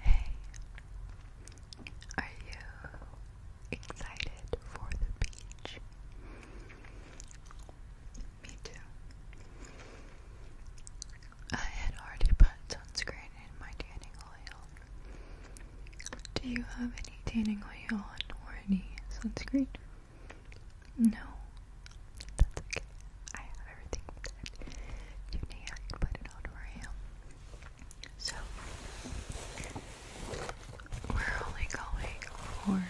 Hey, are you excited for the beach? Me too. I had already put sunscreen in my tanning oil. Do you have any tanning oil on or any sunscreen? No. That's okay. I have everything that you I can put it on for you. So, we're only going for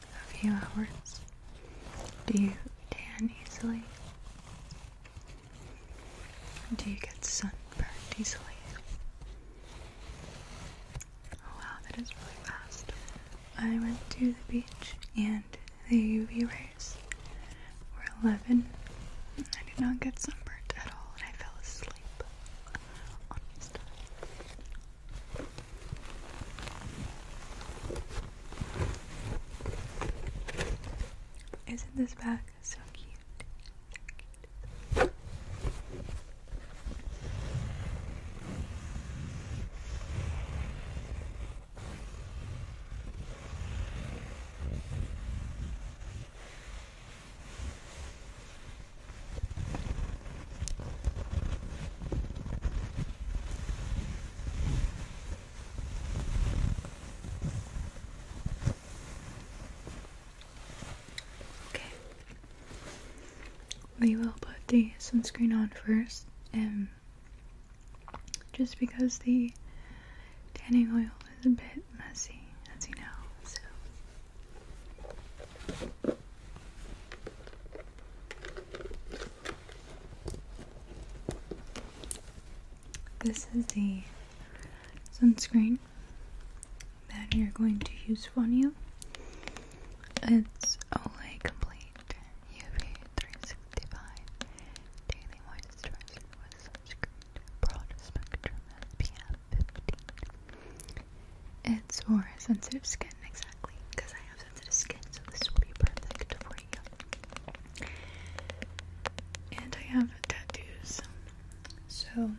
a few hours. Do you tan easily? Do you get sunburned easily? Oh wow, that is really fast. I went to the beach and the UV rays were 11. I did not get sunburnt at all and I fell asleep. Isn't this bag So cute. Okay. We will put the sunscreen on first and just because the tanning oil is a bit messy, as you know, so. This is the sunscreen that you're going to use on you. It's Olay Complete UV 365 Daily Moisturizer with Sunscreen Broad Spectrum SPF 15. It's for sensitive skin, exactly, because I have sensitive skin, so this will be perfect for you. And I have tattoos, so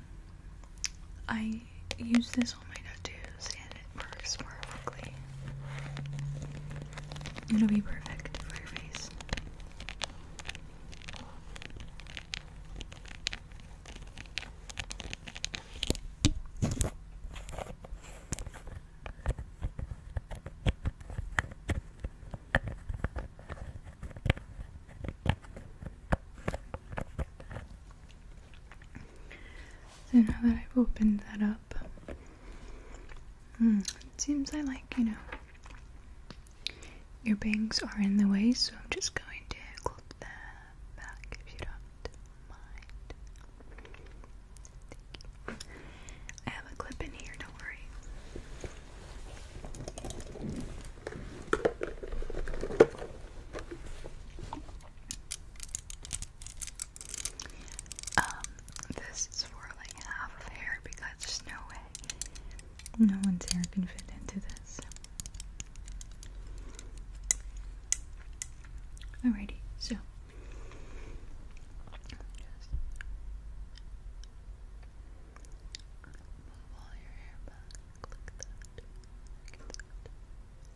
I use this on my tattoos, it works more quickly. It'll be perfect for your face. So now that I've opened that up, hmm, it seems I like, you know, your bangs are in the way, so I'm just going to clip that back if you don't mind. I have a clip in here, don't worry. Um, this is for like half of hair because there's no way no one's hair can fit into this. Alrighty, so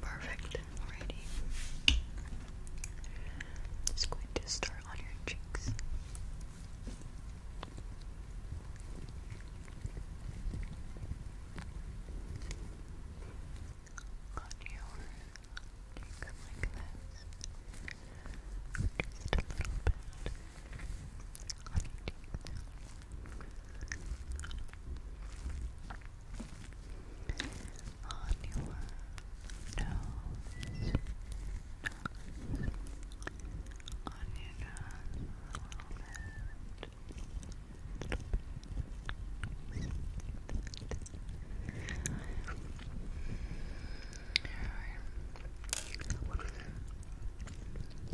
Perfect. Alrighty. Just going to start on your cheeks. On your cheeks like this. Just a little bit on your nose, nose, on your nose a little bit.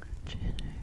Your chin area,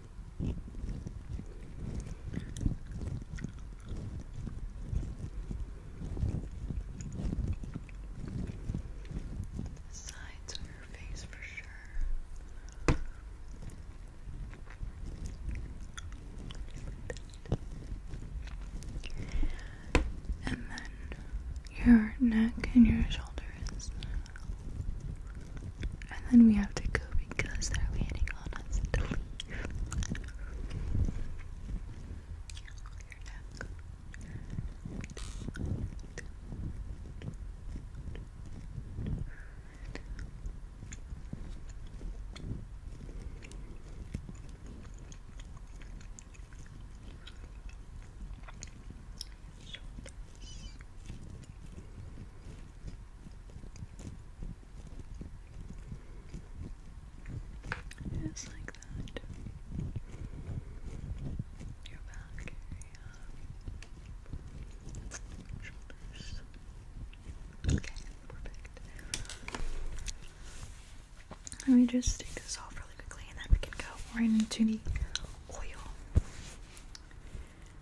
sides of your face for sure. And then your neck and your shoulders. And then we have to go because they're waiting on us to leave. Just like that. Your back area. Shoulders. Okay, perfect. Let me just take this off really quickly and then we can go right into the oil.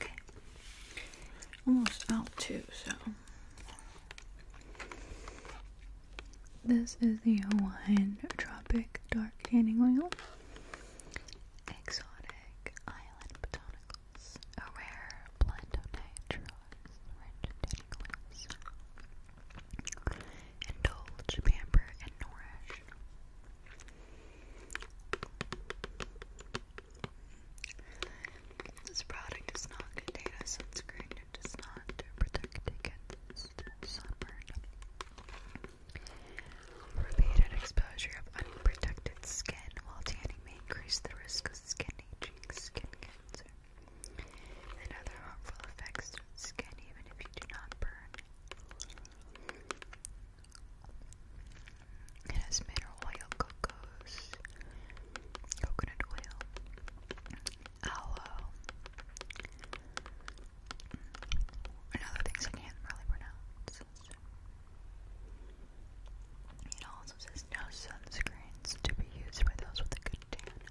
Okay. Almost out too, so this is the Hawaiian Tropic Dark Tanning Oil. Exotic Island Botanicals. A rare blend of natural rich tanning oils. Indulge, pamper, and nourish. This product does not contain a sunscreen. It does not protect against sunburn. Repeated exposure of unprotected skin while tanning may increase the risk of skin aging, skin cancer and harmful effects to skin even if you do not burn. It has mineral oil, cocos, coconut oil, aloe, and other things I can't really pronounce. It also says no sunscreens to be used by those with a good tan.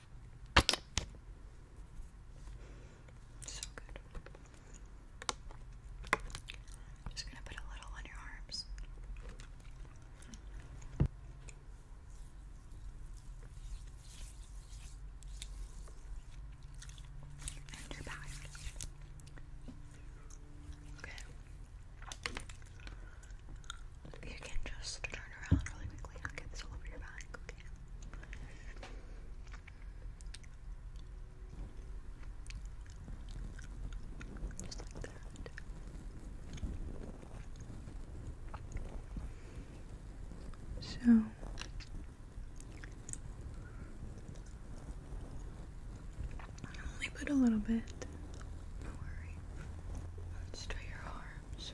So good. just gonna put a little on your arms. And your back. Okay. You can just turn around really quickly and get this all over your back, Just like that. So I only put a little bit. Don't worry. let your arms.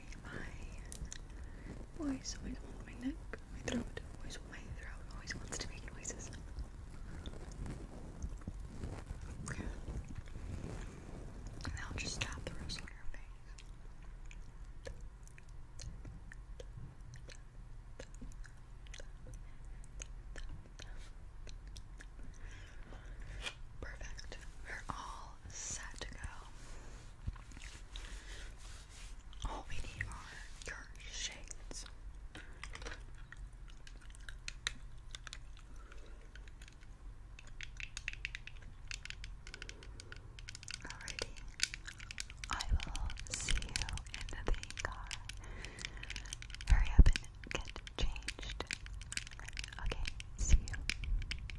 my voice, always wants my neck, my throat, my throat always wants to make noises. Okay. And I'll just tap the rest on your face. Perfect. We're all set to go. All we need are your shades. Alrighty. I will see you in the car. Hurry up and get changed. Okay, see you.